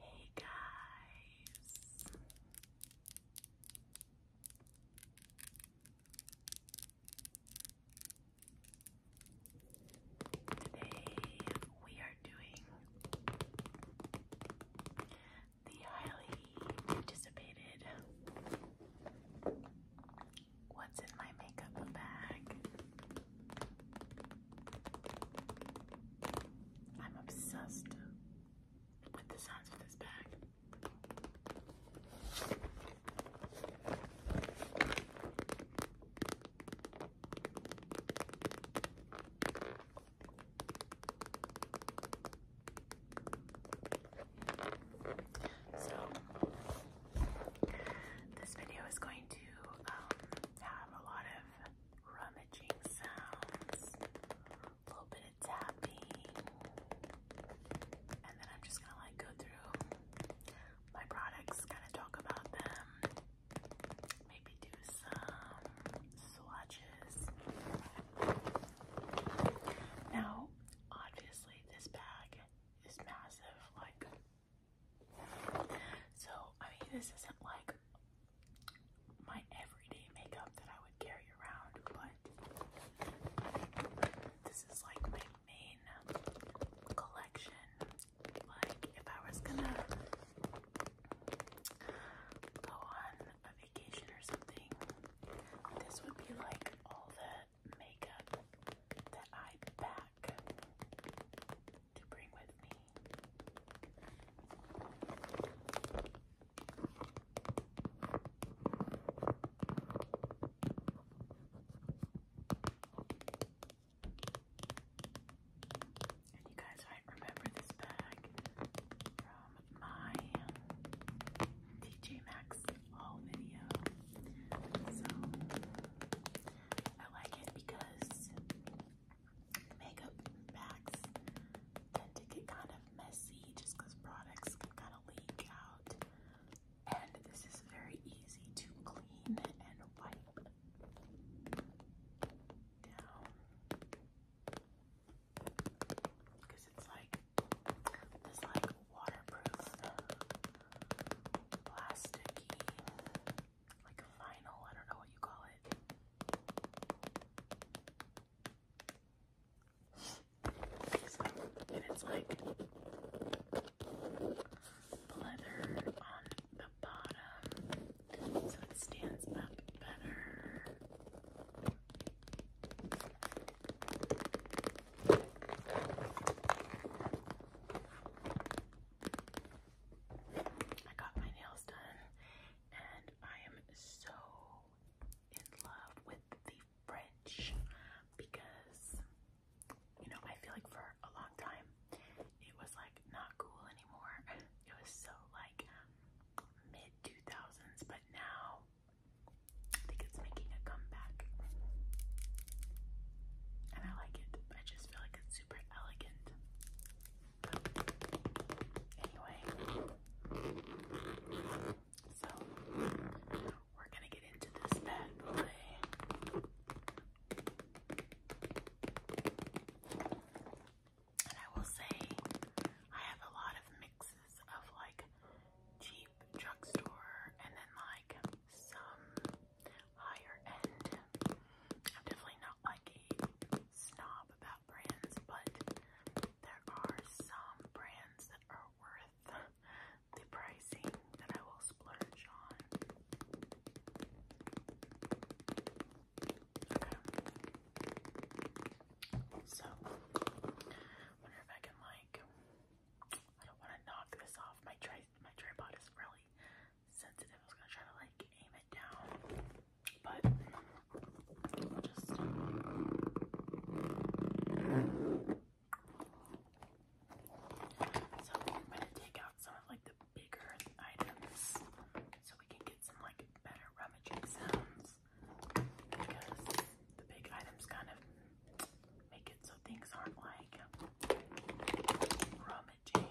Hey guys. Today we are doing the highly anticipated What's in my makeup bag? I'm obsessed with the sounds of this bag. So, this video is going to um, a lot of rummaging sounds, a little bit of tapping, and then I'm just gonna like go through my products, kind of talk about them, maybe do some swatches. Now, obviously, this bag is massive, like so, I mean, this isn't like my everyday makeup that I would carry around, but this is like my main collection. Like, if I was gonna go on a vacation or something, this would be like all the makeup that I pack pack to bring with me. And you guys might remember this bag from my TJ Maxx haul video. So I like it because makeup bags tend to get kind of messy just because products can kind of leak out. And this is very easy to clean and wipe down. Because it's like this like waterproof plasticky like a vinyl, I don't know what you call it. and it's like leather on the bottom so it stands up better. I got my nails done and I am so in love with the French because you know I feel like for a long time it was like not cool anymore. It was so like mid 2000s but now I think it's making a comeback. And I like it. I just feel like it's super elegant. Anyway, so we're gonna get into this bad boy. And I will say, I have a lot of mixes of like cheap drugstore and then like some higher end. I'm definitely not like a snob about brands, but there are some brands that are worth the pricing that I will splurge on. So, wonder if I can like. I don't want to knock this off. My tri my tripod is really sensitive. I was gonna try to like aim it down, but just. So I'm gonna take out some of like the bigger items so we can get some like better rummaging sounds because the big items kind of make it so things aren't like rummaging.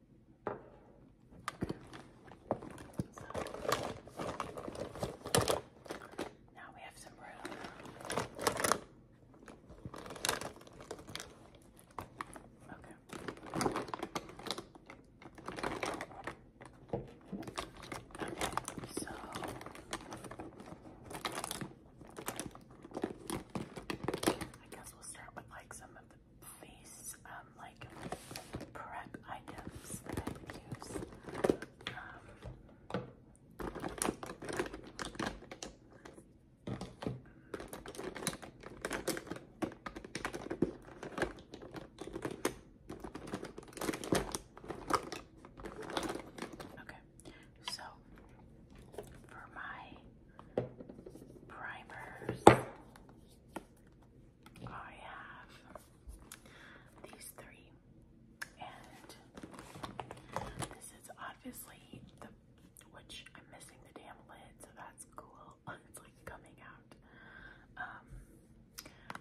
Now we have some room. Okay. Okay, so I guess we'll start with like some face um, like prep items that use. Um, Okay, so for my primers, I have these three, and this is obviously the which I'm missing the damn lid, so that's cool. It's like coming out. Um,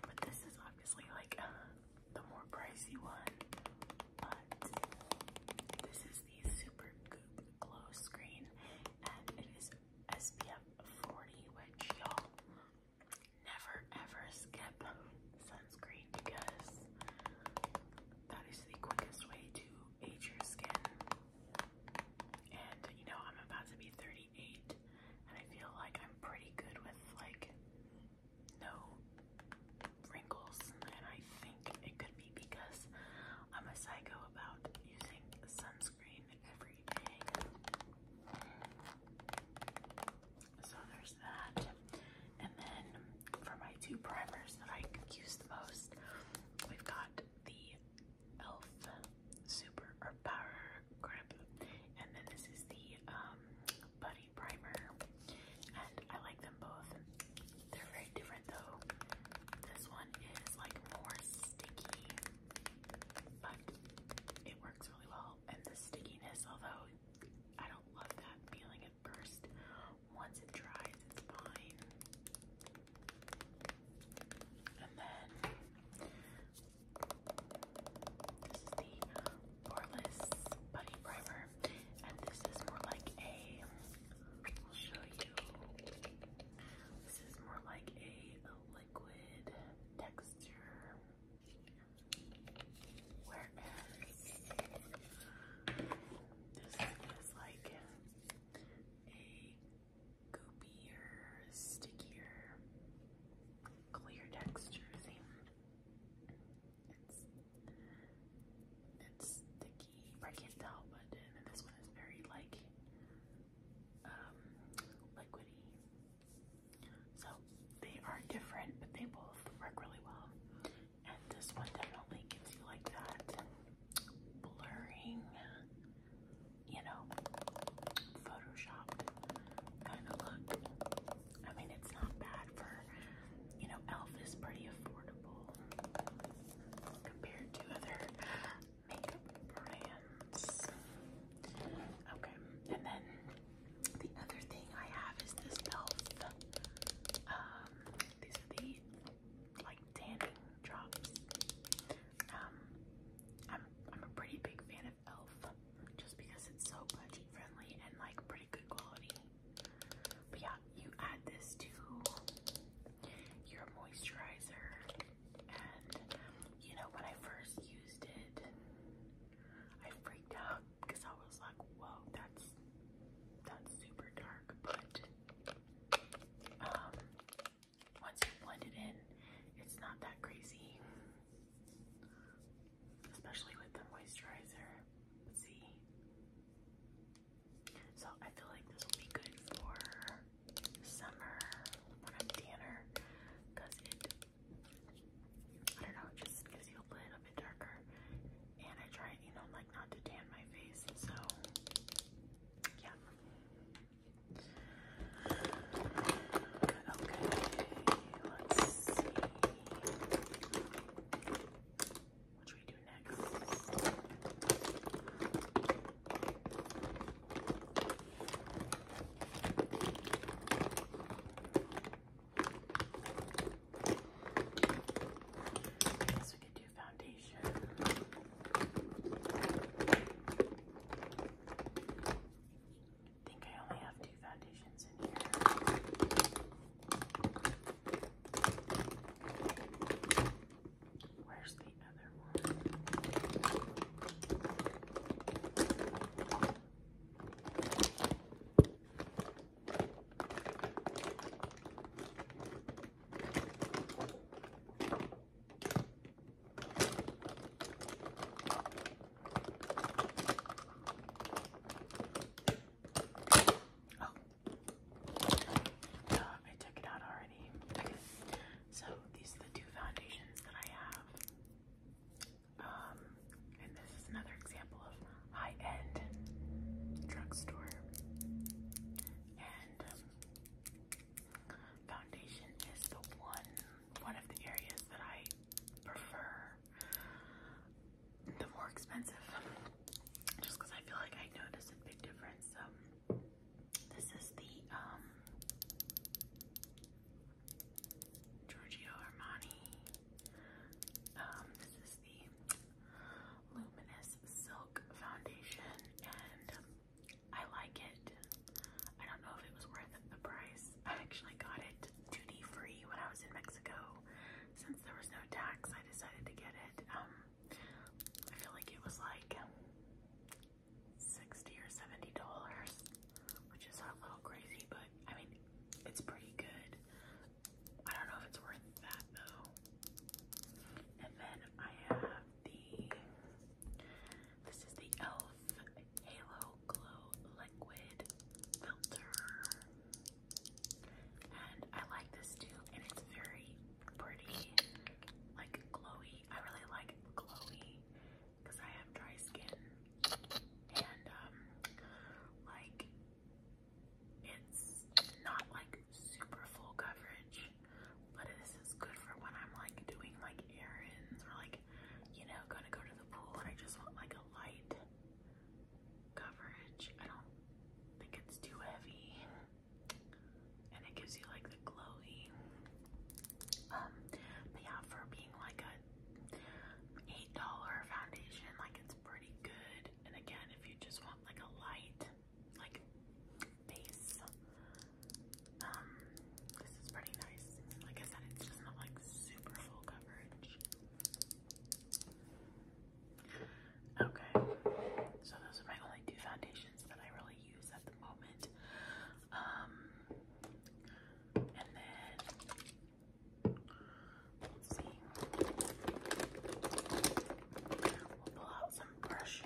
but this is obviously like the more pricey one. But this is the Super Goop Glow Screen, and it is SPF 40, which y'all never ever skip sunscreen because that is the quickest way to age your skin. And you know, I'm about to be 38 and I feel like I'm pretty good with like no wrinkles and I think it could be because I'm a psycho about using sunscreen every so there's that. And then for my two primers that I use the most, we've got the e.l.f. Super Power Grip. And then this is the um, Buddy Primer. And I like them both. They're very different though. This one is like more sticky but it works really well. And the stickiness, although I don't love that feeling at first, once it dries, it's fine. And then the poreless putty primer, and this is more like a. I'll show you. This is more like a liquid texture. Whereas this is like a goopier, stickier, clear texture. See? it's sticky. I can't tell, but this one is very like um, liquidy. So they are different, but they both work really well. And this one definitely gives you like that blurring, you know, photoshopped kind of look. I mean, it's not bad for, you know, e.l.f. is pretty affordable compared to other makeup brands. Okay, and then the other thing I have is this e.l.f. Um, these are the like tanning drops. Um, I'm I'm a pretty big fan of e.l.f. just because it's so budget friendly and like pretty good quality. But yeah, you add this to your moisturizer and you know, when I first used it, I freaked out because I was like, whoa, that's that's super dark. But um, once you blend it in, it's not that crazy. Especially with the moisturizer. see. So I feel like this will be good for summer when I'm tanner it, I don't know, just gives you a little bit darker. And I try, you know, like not to tan my face, so yeah. Okay, let's see. What should we do next? Guess we could do foundation. I think I only have two foundations in here. Where's the another one. Oh. Uh, I took it out already. So these are the two foundations that I have. Um, and this is another example of high-end drugstore. And um, foundation is the one, one of the areas that I prefer. The more expensive, just because I feel like I notice a big difference. Um, this is the um, Giorgio Armani. Um, this is the Luminous Silk Foundation, and I like it. I don't know if it was worth the price. I actually got it duty free when I was in Mexico. Since there was no tax, I decided to get it. Um, I feel like it was like 60 or 70 dollars, which is a little crazy, but I mean, it's pretty good. I don't know if it's worth that though. And then I have the, this is the e.l.f. Halo Glow Liquid Filter. And I like this too, and it's very pretty, like glowy. I really like glowy because I have dry skin and um like it's not like super full coverage but this is good for when I'm like doing like errands or like you know gonna go to the pool and I just want like a light coverage. I don't think it's too heavy and it gives you like the glowy um, but yeah, for being like a $8 foundation, like it's pretty good. And again, if you just want like a light, like base, um, this is pretty nice. Like I said, it's just not like super full coverage. Okay, so those are my only two foundations that I really use at the moment. Um, and then see. We'll pull out some brushes.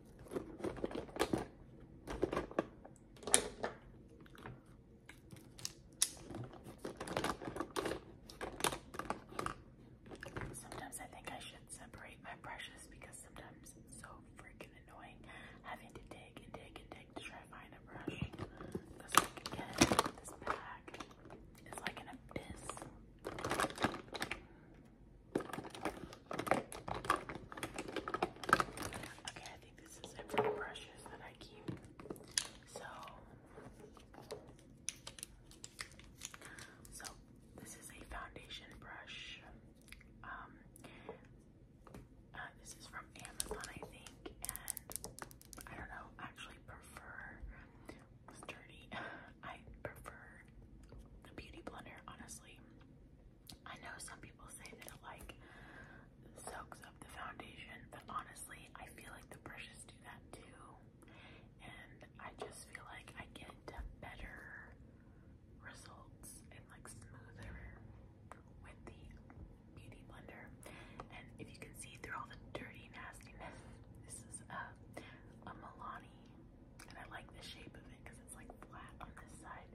Sometimes I think I should separate my brushes because sometimes it's so freaking annoying having to dig and dig and dig to try to find a brush. This bag is like an abyss. Okay, I think this is it for the brushes that I keep. So, so this is a foundation brush. Um, uh, this is from Amazon, I think, and I don't know. Actually, prefer it's I prefer the Beauty Blender, honestly. I know some people say that it like soaks up the foundation, but honestly, I feel like the brushes do that too. And I just feel like I get better results and like smoother with the beauty blender. And if you can see through all the dirty nastiness, this is a, a Milani and I like the shape of it because it's like flat on this side,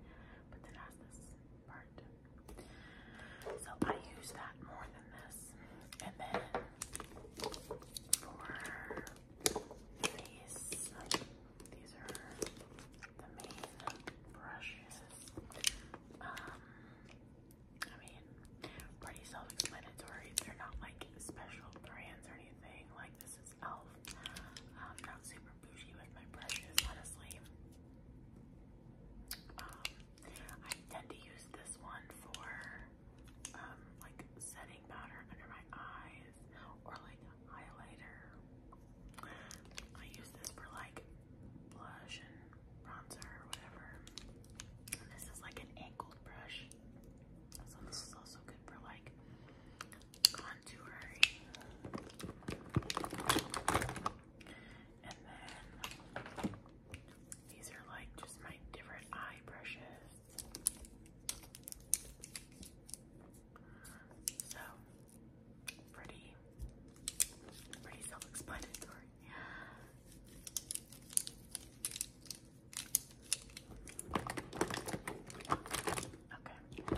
but then has this part. So I use that more than this. And then for these, these are the main brushes. Um, I mean, pretty self-explanatory. They're not like special brands or anything. Like this is I'm not super bougie with my brushes, honestly. Um, I tend to use this one for um, like setting powder under my eyes or like highlighter. I use this for like blush and bronzer or whatever. this is like an angled brush. So this is also good for like contouring. And then these are like just my different eye brushes. So pretty, pretty self-explanatory. Okay,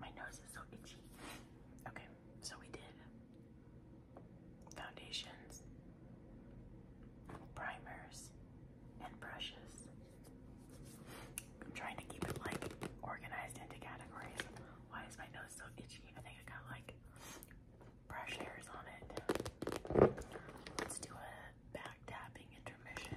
my nose is so itchy. Okay, so we did foundations, primers, and brushes. I'm trying to keep it like organized into categories. Why is my nose so itchy? I think I got like brush hairs on it. Let's do a back tapping intermission.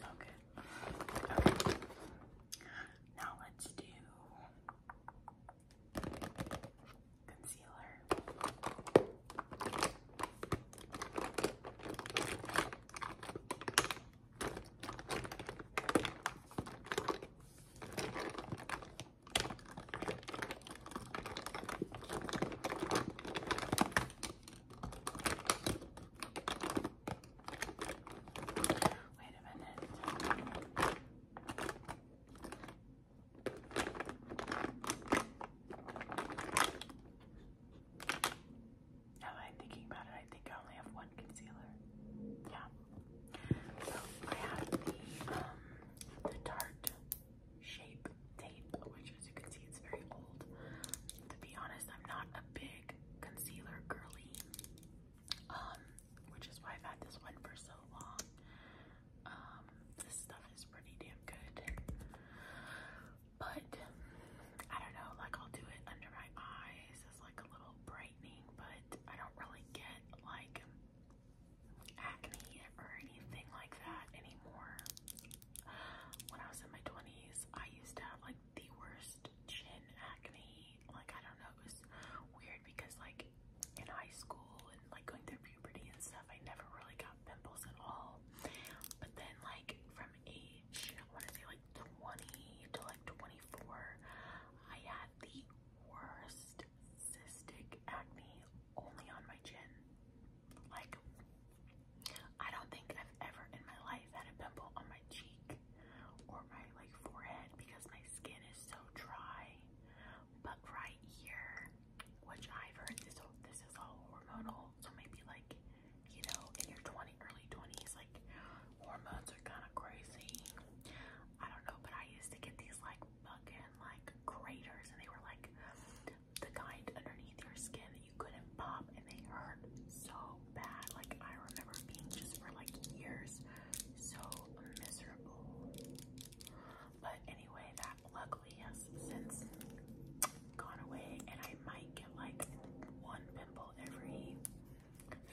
So good. Now let's do concealer. Wait a minute. Now that I'm thinking about it, I think I only have one concealer. Yeah. So I have the um the Tarte Shape tape, which as you can see, it's very old. To be honest, I'm not a big concealer girly, um, which is why I've had this one for so long. Um, this stuff is pretty damn good, but I don't know, like I'll do it under my eyes as like a little brightening, but I don't really get like acne or anything like that anymore when I was in my 20s, I used to have like the worst chin acne. Like, I don't know, it was weird because, like, in high school and like going through puberty and stuff, I never really got pimples at all. But then, like, from age, I want to say like 20 to like 24, I had the worst cystic acne only on my chin. Like, I don't think I've ever in my life had a pimple on my cheek or my like forehead because my skin is so dry. But right here, which I've heard this is all hormonal, so maybe like you know in your 20 early 20s like hormones are kind of crazy. I don't know, but I used to get these like fucking like craters and they were like the kind underneath your skin that you couldn't pop and they hurt so bad. Like I remember being just for like years so miserable. But anyway, that luckily has since gone away and I might get like one pimple every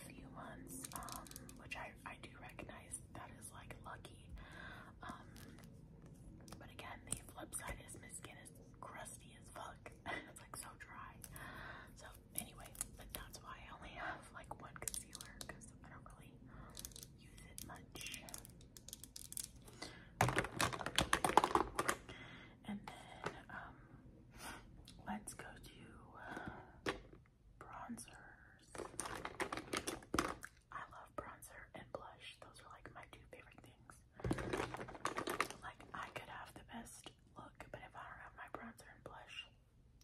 few months, um, which I, I do recognize that is like lucky. Um, but again, the flip side is my skin is crusty as fuck. it's like so dry. So anyway, but that's why I only have like one concealer because I don't really use it much. And then um let's go to uh, bronzers. I love bronzer and blush. Those are like my two favorite things. Like, I could have the best look, but if I don't have my bronzer and blush,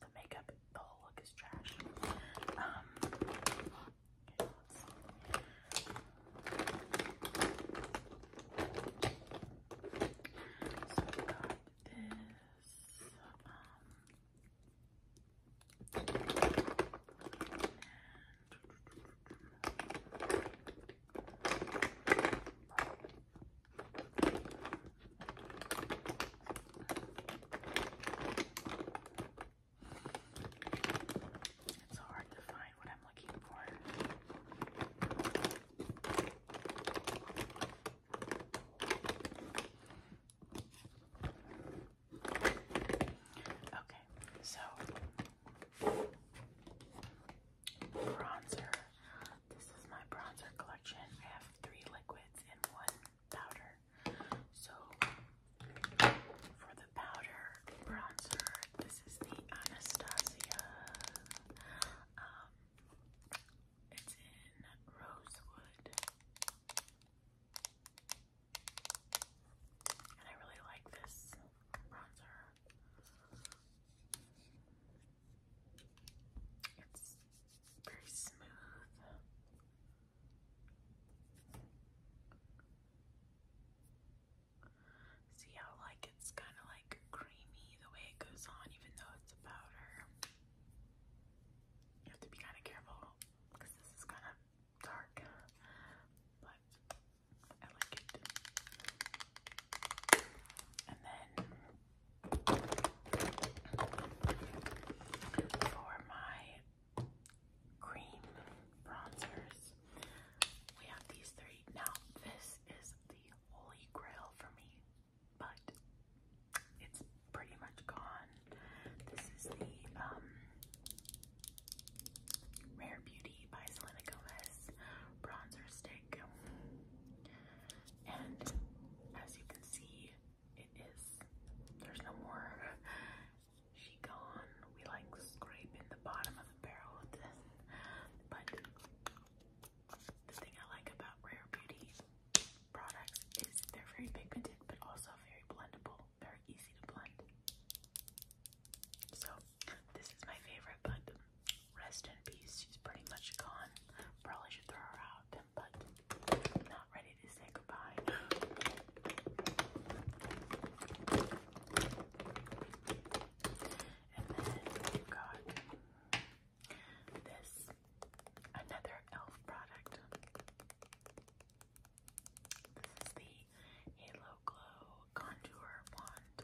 the makeup, the whole look is trash. Um, so we got this, um, it's hard to find what I'm looking for. Okay, so bronzer. This is my bronzer collection. I have three liquids and one powder. So for the powder bronzer, this is the Anastasia. Um, it's in Rosewood. And I really like this bronzer. It's very smooth. See how like it's kind of like creamy the way it goes on even though it's a powder. You have to be kind of careful because this is kind of dark. But and then for my cream bronzers, we have these three. Now, this is the holy grail for me, but it's pretty much gone. This is the um, Rare Beauty by Selena Gomez Bronzer Stick fabric. And as you can see, it is, there's no more she gone. We like scraping the bottom of the barrel of this. But the thing I like about Rare Beauty products is they're very pigmented, but also very blendable, very easy to blend. So this is my favorite, but rest in peace. She's pretty much gone. Probably should throw her out, but not ready to say goodbye. And then we got this another elf product. This is the Halo Glow contour wand.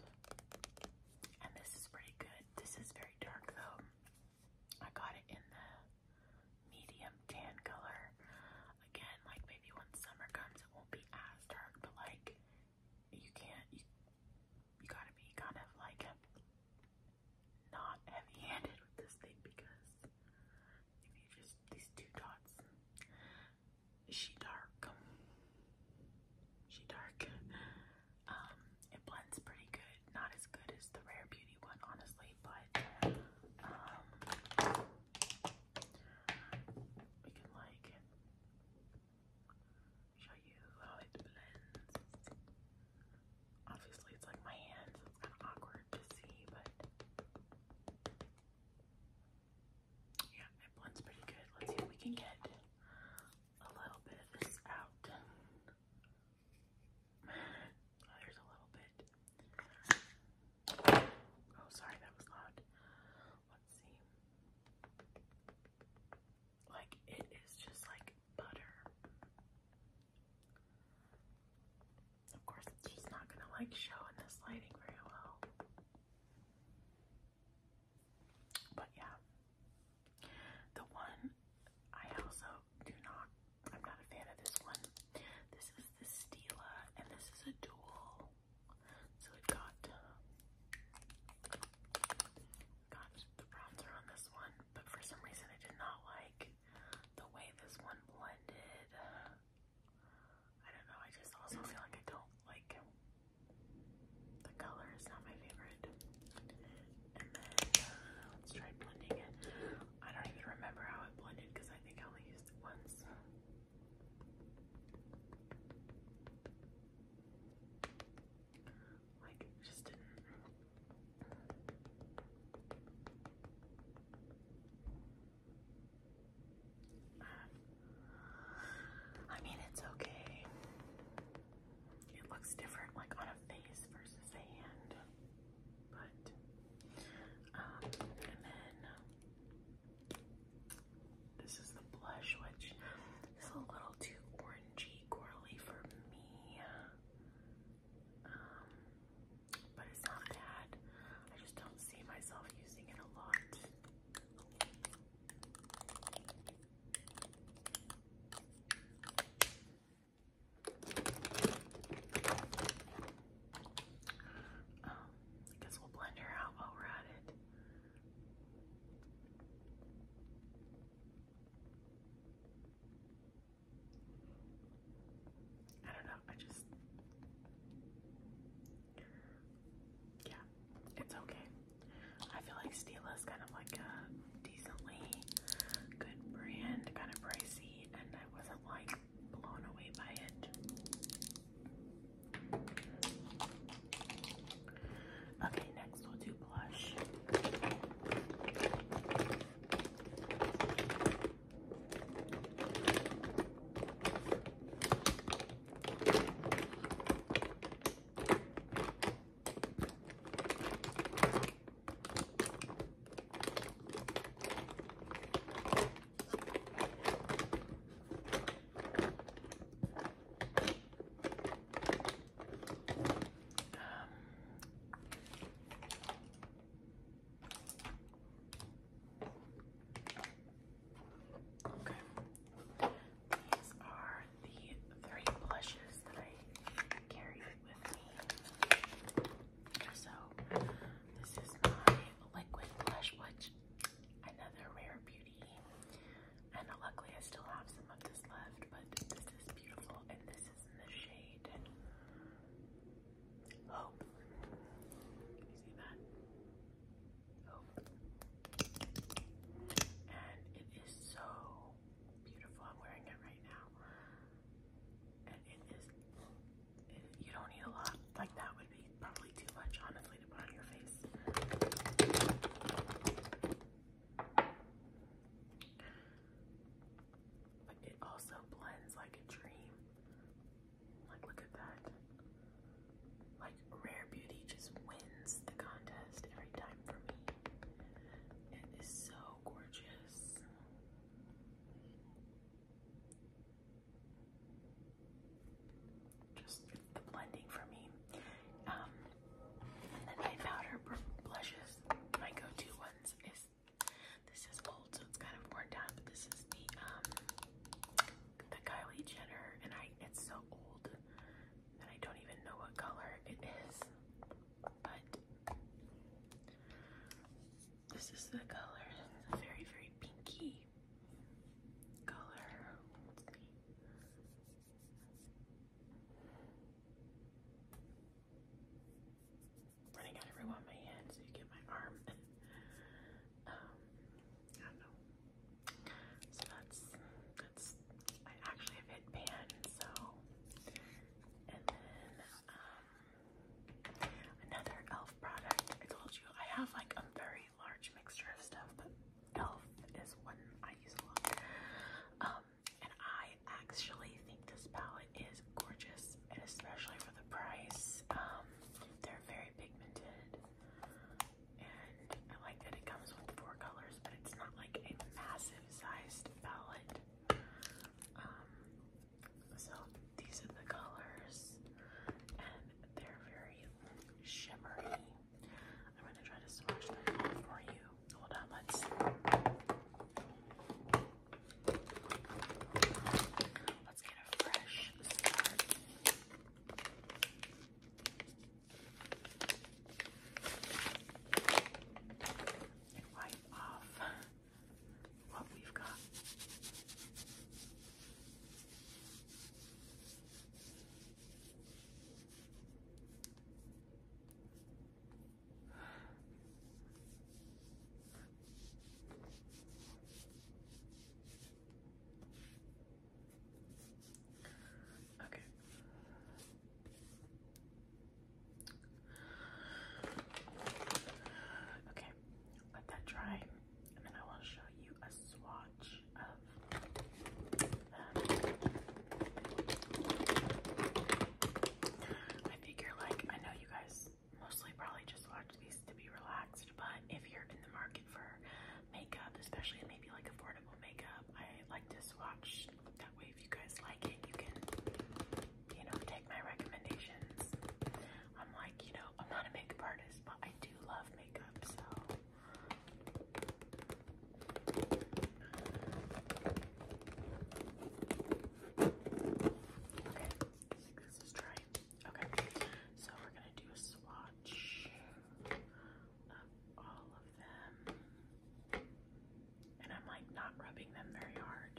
And this is pretty good. This is very dark though. I got it in the medium tan color. Again, like maybe when summer comes it won't be as dark, but like you can't you you gotta be kind of like not heavy handed with this thing because if you just these two dots she dark. She dark. Um, it blends pretty good. Not as good as the Rare Beauty one, honestly, but um, we can like show you how it blends. Obviously, it's like my hand, so it's kind of awkward to see, but. Yeah, it blends pretty good. Let's see if we can get a little bit of this out. Oh, there's a little bit. Oh, sorry, that was loud. Let's see. Like, it is just like butter. Of course, it's just not gonna like show in this lighting very well. But yeah, the one I also do not, I'm not a fan of this one. This is the Stila, and this is a dual. So it got, got the bronzer on this one, but for some reason I did not like the way this one blended. I don't know, I just also feel like I don't like the color is not my favorite. And then uh, let's try blending it. I don't even remember how it blended because I think I only used it once. Like, just didn't. Uh, I mean, it's okay it looks different like on a face versus a hand. But um, and then this is the blush which is a little too orangey corally for me. Um but it's not bad. I just don't see myself using it a lot. Um, I guess we'll blend her out while we're at it. I don't know, I just yeah, it's okay. I feel like Stila is kind of like a decently good brand, kind of pricey, and I wasn't like blown away by it. Okay, next we'll do blush. Um, okay. These are the three blushes that I carry with me. So this is my liquid blush, which another rare beauty. And luckily I still have some of this left, but this is beautiful and this is in the shade. Hope and it is so beautiful. I'm wearing it right now, and it is. you don't need a lot. Like that would be probably too much, honestly, to put on your face. But it also blends like a dream. Like, look at that. Like, Rare Beauty just wins the contest every time for me. It is so gorgeous. Just the blending for me. Um, and then my powder blushes, my go-to ones is this is old, so it's kind of worn down, but this is the um the Kylie Jenner, and I it's so old and I don't even know what color it is, but this is the color. It's a very, very pinky color. Running out everyone on my hand so you get my arm. um, I don't know. So that's that's I actually have hit pan, so and then um another elf product. I told you I have like a very large mixture of stuff, but elf is one I use a lot. Um and I actually think this palette is gorgeous and especially for the price. Um they're very pigmented. And I like that it comes with four colors, but it's not like a massive sized palette. Um, so these are the colors, and they're very shimmery. I'm gonna try to swatch them for you. Hold on, let's. Let's get a fresh start and wipe off what we've got. Okay. Okay, let that dry, and then I will show you a swatch of I figure, like, I know you guys mostly probably just watch these to be relaxed, but if you're in the market for makeup, especially maybe like affordable makeup, I like to swatch that way, if you guys like it, you can, you know, take my recommendations. I'm like, you know, I'm not a makeup artist, but I do love makeup, so. Okay, I think this is dry. Okay, so we're gonna do a swatch of all and I'm like not rubbing them very hard.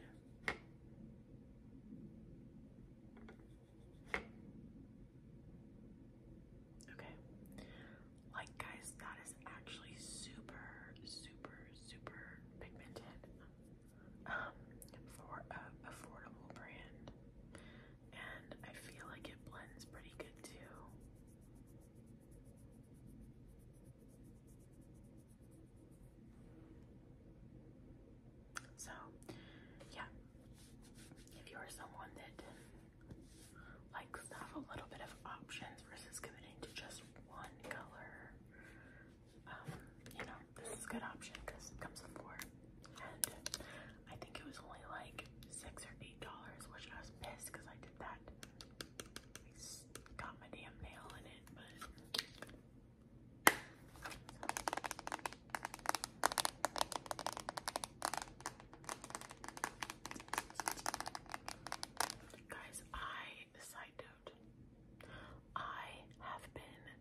Okay. Like, guys, that is actually super, super, super pigmented um, for an affordable brand. And I feel like it blends pretty good too. So, yeah, if you are someone that likes to have a little bit of options versus committing to just one color, um, you know, this is a good option because it comes with four. And I think it was only like six or eight dollars, which I was pissed because I did that I got my damn nail in it, but. Guys, I, side note, I have been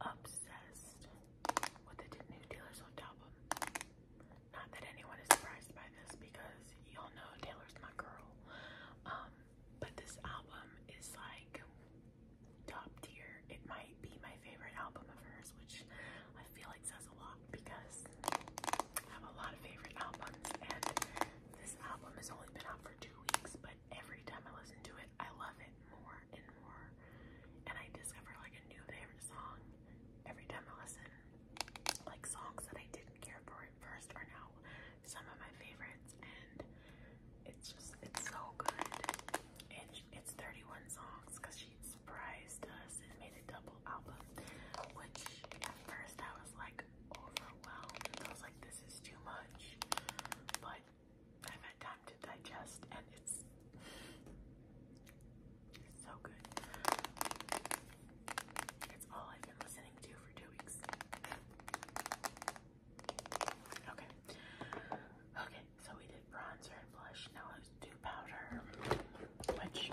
obsessed with the new Taylor Swift album. Not that anyone is surprised by this because y'all know Taylor's my girl. Um, but this album is like top tier. It might be my favorite album of hers, which I feel like says a lot because I have a lot of favorite albums and this album has only been out for two weeks, but every time I listen to it, I love it more and more. And I discover like a new favorite song every time I listen like songs that I didn't care for at first are now some of my favorites and it's just it's so good and it's 31 songs because she surprised us and made a double album which at first I was like overwhelmed I was like this is too much but I've had time to digest and it's so good. It's all I've been listening to for two weeks. Okay. Okay, so we did bronzer and blush. Now let's do powder, which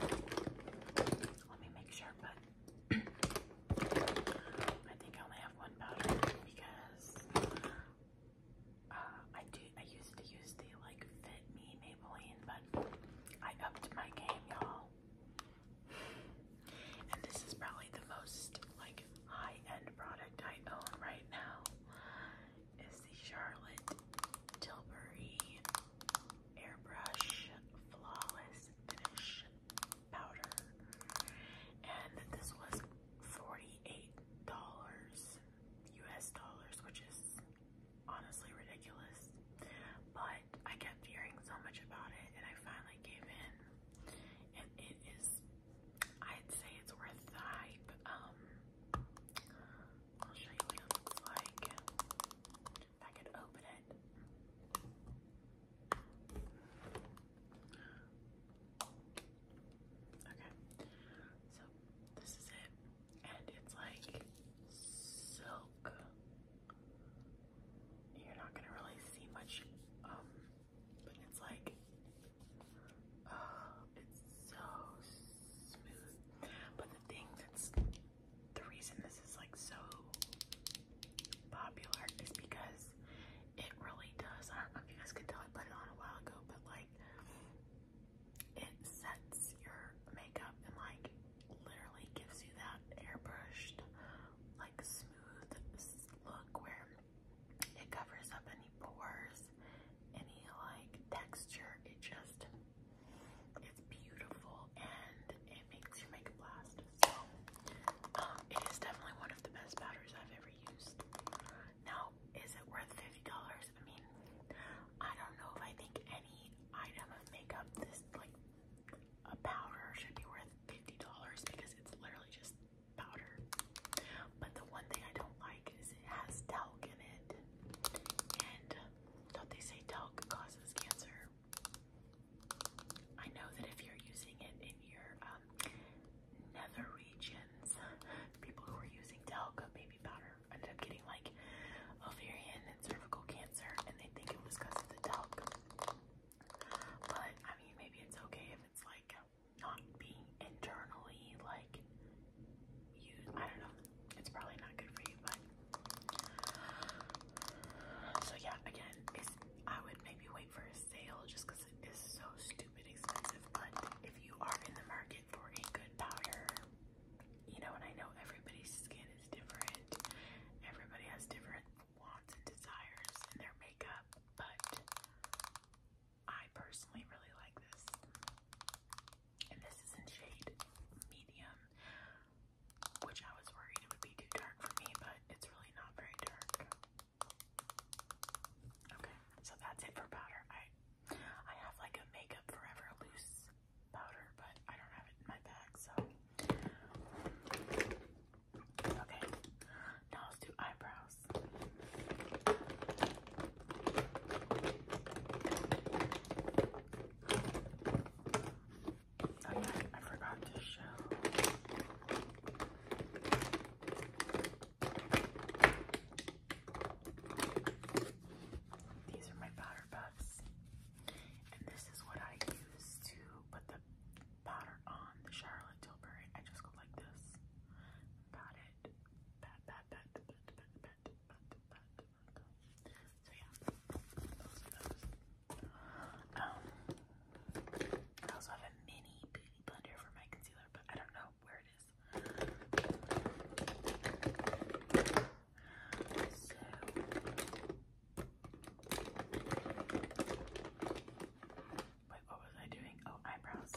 let me make sure, but I think I only have one powder because uh, I do. I used to use the like Fit Me but I upped my game, y'all. And this is probably the most like high-end product I own right now. Is the Charlotte Tilbury Airbrush Flawless Finish Powder. And this was $48 US dollars, which is honestly ridiculous. But I kept hearing so much about it and I finally gave in. And it is, I'd say it's worth the hype. Um, I'll show you what it looks like. If I could open it. Okay, so this is it and it's like silk. You're not gonna really see much, um, but it's like, uh, it's so smooth. But the thing that's the reason this is like so popular is because it really does. I don't know if you guys could tell I put it on a while ago, but like it sets your makeup in like literally gives you that airbrushed, like smooth look where it covers up any pores, any like texture. It just, it's beautiful and it makes your makeup last. So, um, it is definitely one of the best powders I've ever used. Now, is it worth $50? I mean, I don't know if I think any item of makeup, this like a powder should be worth $50 because it's literally just powder. But the one thing I don't like is it has talc in it. And don't they say talc causes cancer? I know that if you're using it in your um, nether regions, people who are using talc baby powder ended up getting like ovarian cervical cancer and they think it was because of the talc. But I mean, maybe it's okay if it's like not being internally like used. I don't know. It's probably not good for you, but so yeah. Again, it's, I would maybe wait for a sale just because it is so stupid expensive. But if you are in the market for a good powder, you know, and I know everybody's skin is different, everybody has different wants and desires in their makeup, but I personally really like this. And this is in shade medium, which I was worried it would be too dark for me, but it's really not very dark. Okay, so that's it for powder. I I have like a makeup forever loose powder, but I don't have it in my bag, so. Okay, now let's do eyebrows. Oh, I forgot to show. These are my powder puffs. And this is what I use to put the powder on the Charlotte Tilbury. I just go like this. Pat it. Pat, pat, pat, pat, pat, pat, pat, pat, So yeah, um, I also have a mini beauty blender for my concealer, but I don't know where it is. So wait, what was I doing? Oh, eyebrows.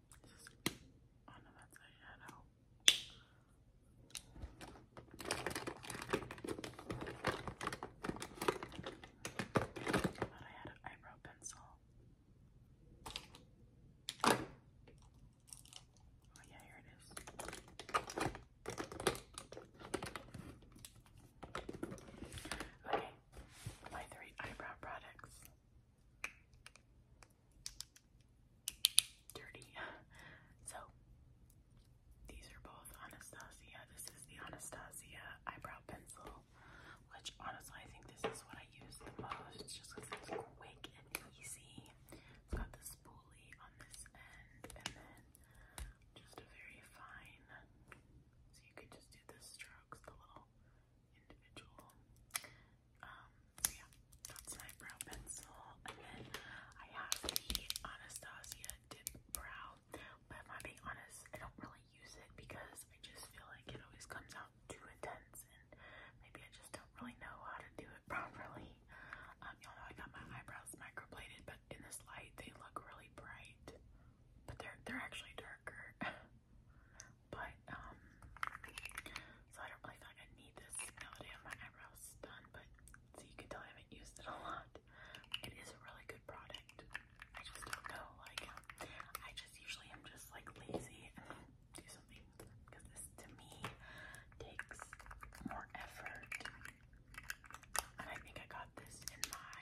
Oh no, I had an eyebrow pencil. Oh yeah, here it is. Okay, my three eyebrow products dirty. So these are both Anastasia. This is the Anastasia eyebrow pencil, which honestly I think this is what I use the most just because it's quick and easy. It's got the spoolie on this end and then just a very fine so you could just do the strokes, the little individual. Um, yeah, that's my brow pencil. And then I have the Anastasia Dip Brow. But if I'm being honest, I don't really use it because I just feel like it always comes out too intense and maybe I just don't really know how to do it properly. Um, y'all know I got my eyebrows microbladed, but in this light they look really bright. But they're they're actually darker. But, um, so I don't really feel like I need this now that I have my eyebrows done, but so you can tell I haven't used it a lot. It is a really good product. I just don't know, like, um, I just usually am just like lazy and do something because this to me takes more effort. And I think I got this in my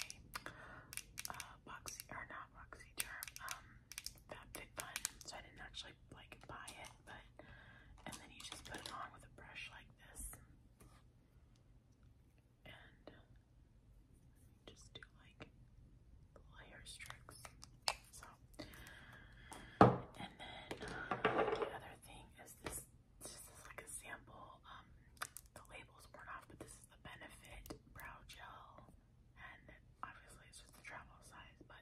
uh, box, or not not Roxy Germ, um, Fabfit so I didn't actually like buy it, but and then you just put it on with a brush like this, and just do like layer strokes. So, and then uh, the other thing is this. This is like a sample. Um, the label's worn off, but this is the Benefit Brow Gel and obviously it's just a travel size, but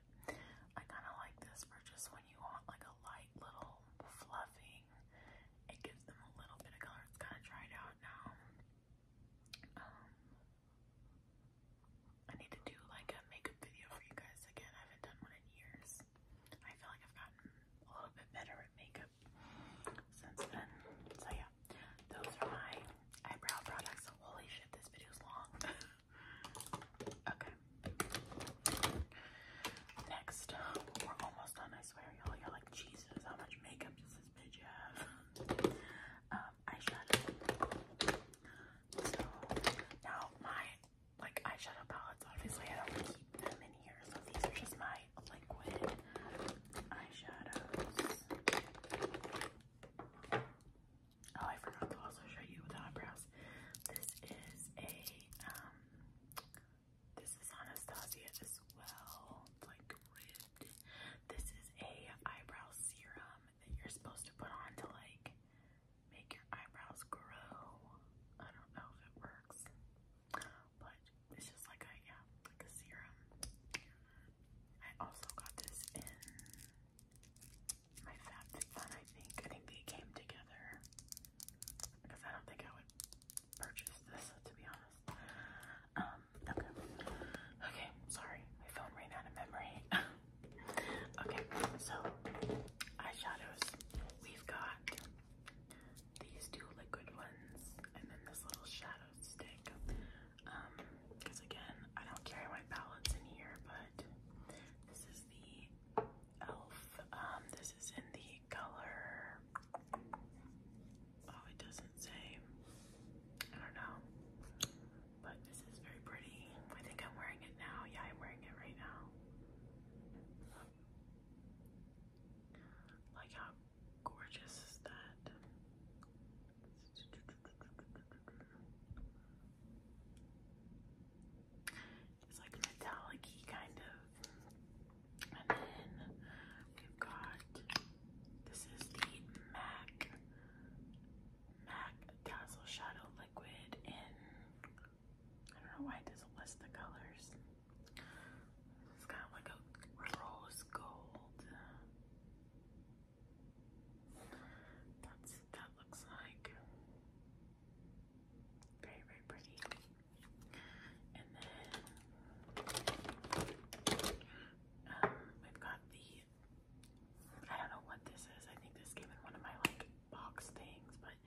I kind of like this for just when you want like a light little fluffing. It gives them a little bit of color. It's kind of dried out now. Um, I need to do like a makeup video for you guys again. I haven't done one in years. I feel like I've gotten a little bit better at makeup since then. So yeah, those are my eyebrow products. Holy shit, this video's long. okay. Next, we're almost done, I swear, y'all. You're like, Jesus, how much makeup does this bitch have? Um, eyeshadow. So, now my, like, eyeshadow palettes, obviously I don't keep them in here, so these are just my liquid eyeshadows. Oh, I forgot to also show you the eyebrows. This is a um this is Anastasia as well. like This is a eyebrow serum that you're supposed to put on to like make your eyebrows grow. I don't know if it works. But it's just like a yeah, like a serum. I also got this in my FabFitFun, I think. I think they came together because I don't think I would purchase this, to be honest. Um, okay. Okay, sorry. My phone ran out of memory. okay, so eyeshadows. We've got these two liquid ones and then this little shadow stick. Um, because again, I don't carry my palettes in here, but this is the e.l.f. Um, this is in the color. Oh, it doesn't say. I don't know. But this is very pretty. I think I'm wearing it now. Yeah, I'm wearing it right now. Like, how gorgeous is that? It's like metallic kind of. And then we've got this is the MAC MAC Dazzle Shadow Liquid in I don't know why it doesn't list the colors. It's kind of like a rose gold. That's that looks like very very pretty. And then um, we've got the I don't know what this is. I think this came in one of my like box things, but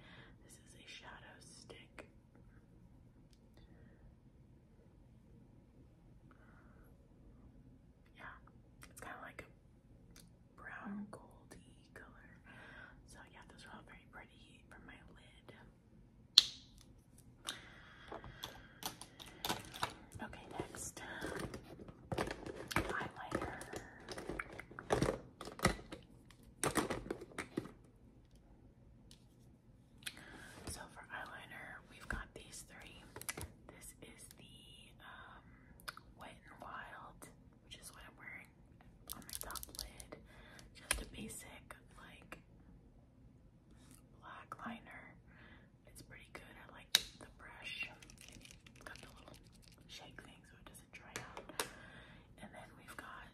this is a shadow stick yeah, it's kind of like a brown goldy color. So yeah, those are all very pretty for my lid. Okay, next highlighter. So for eyeliner, we've got these three. This is the um, Wet and Wild, which is what I'm wearing on my top lid. Just a basic like black liner. It's pretty good. I like the brush. And got the little shake thing so it doesn't dry out. And then we've got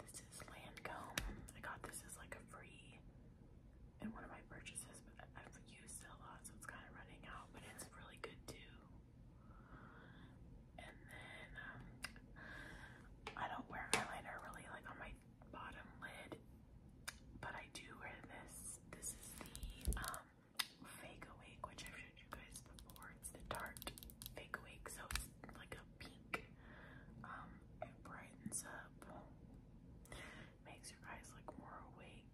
this is Lancome. I got this as like a free and one of my purchases, but I've used it a lot, so it's kind of running out, but it's really good too. And then um, I don't wear eyeliner really like on my bottom lid, but I do wear this. This is the um, Fake Awake, which i showed you guys before. It's the Tarte Fake Awake, so it's like a pink. Um, it brightens up, makes your eyes look more awake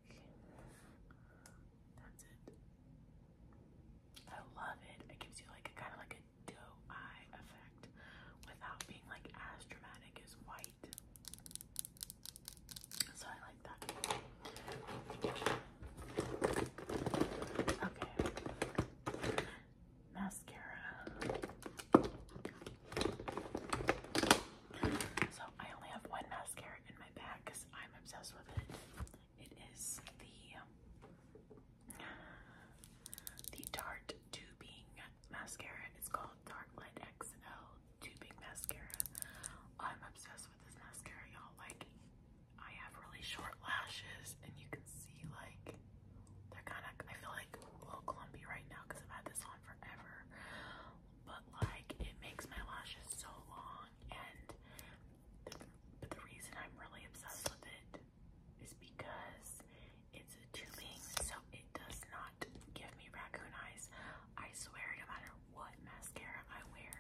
that's it. I love it. It gives you like a kind of like a doe eye effect without being like as dramatic white. So I like that. Okay. Mascara. So I only have one mascara in my bag because I'm obsessed with it. It is the um, the Tarte Tubing mascara. It's called Dark Light XL Tubing Mascara. I'm obsessed with this mascara, y'all. Like I have really short lashes and you can see like they're kind of, I feel like a little clumpy right now because I've had this on forever but like it makes my lashes so long and but the reason I'm really obsessed with it is because it's tubing so it does not give me raccoon eyes. I swear no matter what mascara I wear,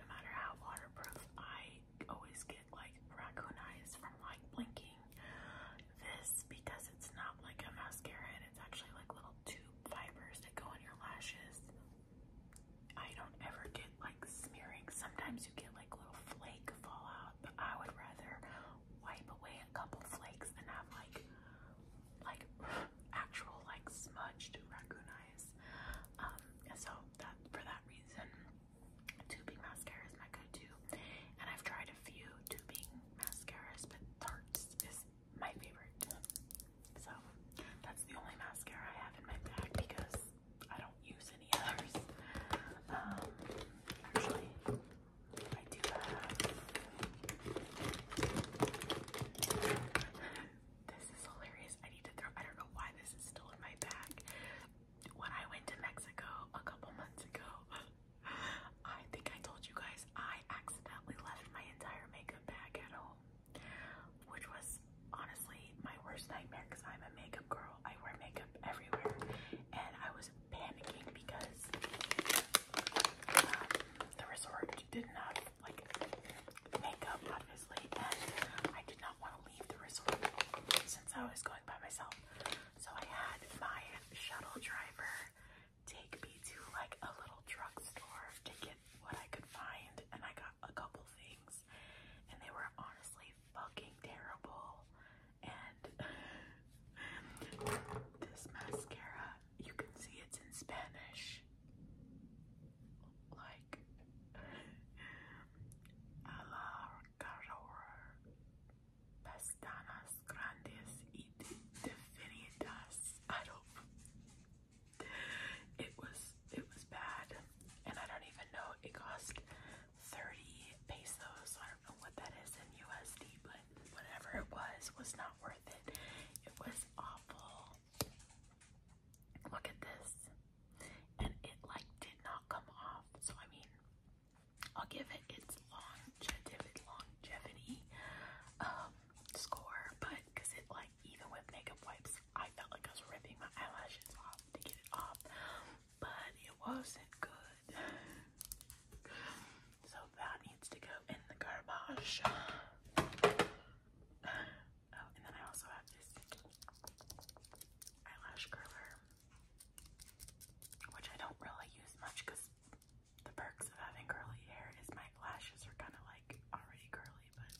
no matter how waterproof, I always get like raccoon eyes from like blinking this because it's not like a mascara, it's actually like little tube fibers that go on your lashes. I don't ever get like smearing. Sometimes you get like little flake fallout, but I would rather wipe away a couple flakes than have like like actual like smudged raccoon eyes. Um, and so that for that reason, tubing mascara is my go-to, and I've tried a few tubing mascaras, but Tarte's is my favorite. So that's the only mascara I have in my bag because I don't use any others. Um, actually, I do have. this is hilarious. I need to throw. I don't know why this is still in my bag. When I went to Mexico a couple months ago, I think I told you guys I accidentally left my entire makeup bag at home, which was honestly my worst nightmare because I'm a makeup girl. I wear makeup everywhere, and I was panicking because um, the resort did not like makeup, obviously, and I did not want to leave the resort since I was going by myself. So I had my shuttle driver take me to like a little drugstore to get what I could find, and I got a couple things, and they were honestly fucking terrible. And this mascara, you can see it's in Spanish. Like, a la Pestanas Grandes y meet Definian dust. I don't. It was it was bad, and I don't even know. It cost thirty pesos. I don't know what that is in USD, but whatever it was was not worth it. It was awful. Look at this, and it like did not come off. So I mean. I'll give it its longevity, um, score, but because it like even with makeup wipes, I felt like I was ripping my eyelashes off to get it off, but it wasn't good. So that needs to go in the garbage. Oh, and then I also have this eyelash curler, which I don't really use much because the perks of having curly hair is my lashes are kind of like already curly, but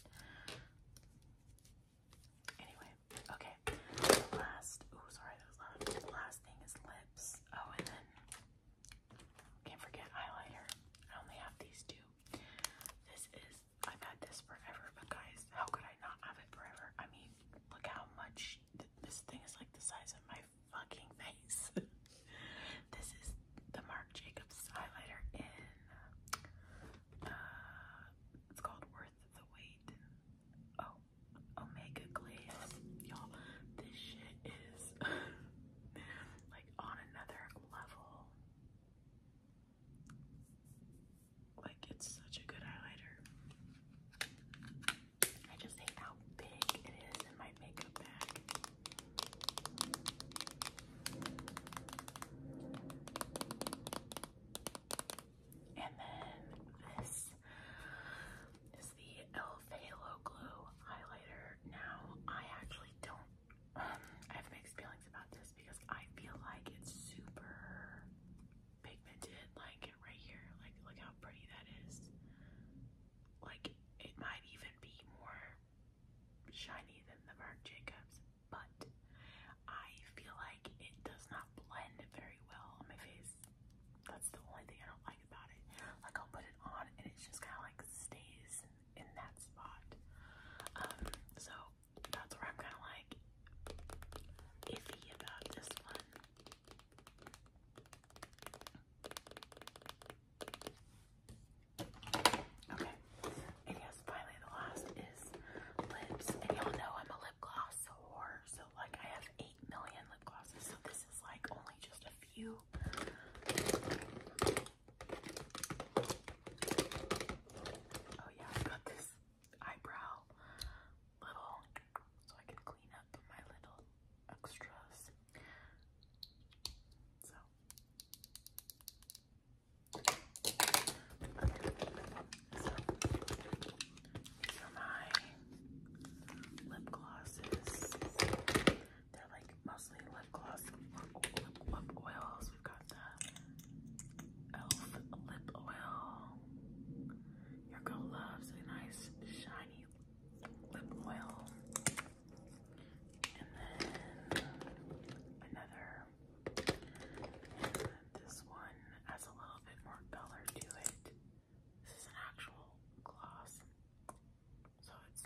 anyway, okay. last, oh sorry, last thing is lips. Oh, and then can't forget highlighter. I only have these two. This is I've had this forever, but guys, how could I not have it forever? I mean, look how much this thing is like the size of my fucking face. This is the Marc Jacobs highlighter in, uh, it's called Worth the Wait. Oh, Omega Glaze. Y'all, this shit is like on another level. Like, it's such a good highlighter. I just hate how big it is in my makeup bag. And then this is the e.l.f. Glow Highlighter. Now, I actually don't, um, I have mixed feelings about this because I feel like it's super pigmented, like right here. Like, look how pretty that is. Like, it might even be more shiny than the Marc Jacobs, but I feel like it does not blend very well on my face. That's the only thing I don't like about it. Like I'll put it on and it just kind of like stays in that spot. Um, so that's where I'm kind of like iffy about this one. Okay, and yes, finally the last is lips. And y'all know I'm a lip gloss whore, so like I have 8 million lip glosses, so this is like only just a few. Oh yeah, I got this eyebrow little, so I can clean up my little extras. So so, for my lip glosses, they're like mostly lip gloss lip oils. We've got the e.l.f. lip oil. Your girl loves a nice shiny lip oil. And then another. this one has a little bit more color to it. This is an actual gloss. So it's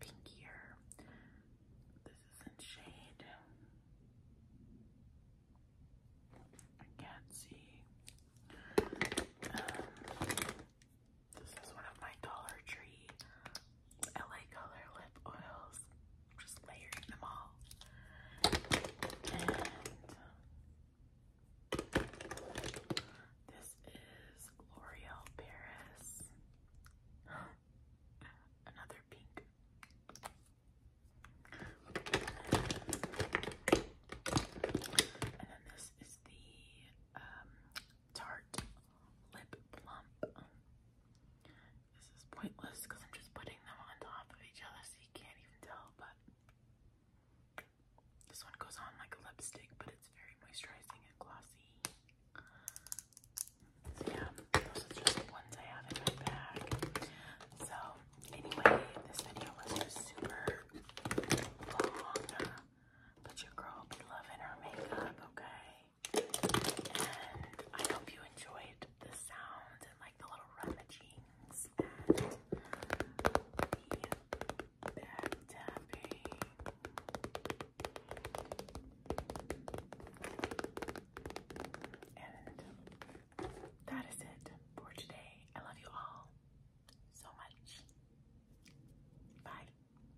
pinkier. This is in shade. I can't see. Um, this is one of my Dollar Tree LA Color lip oils. I'm just layering them all. this is L'Oreal Paris. Another pink. And then this is the um, Tarte Lip Plump. This is pointless because I'm just putting them on top of each other so you can't even tell, but this one goes on like a lipstick, but it's very moisturizing and glossy. yeah, those are just ones I have in my bag. So anyway, this video was just super long, but your girl will be loving her makeup, okay? I hope you enjoyed the sound and like the little rummagings and tapping. And that is it for today. I love you all so much. Bye.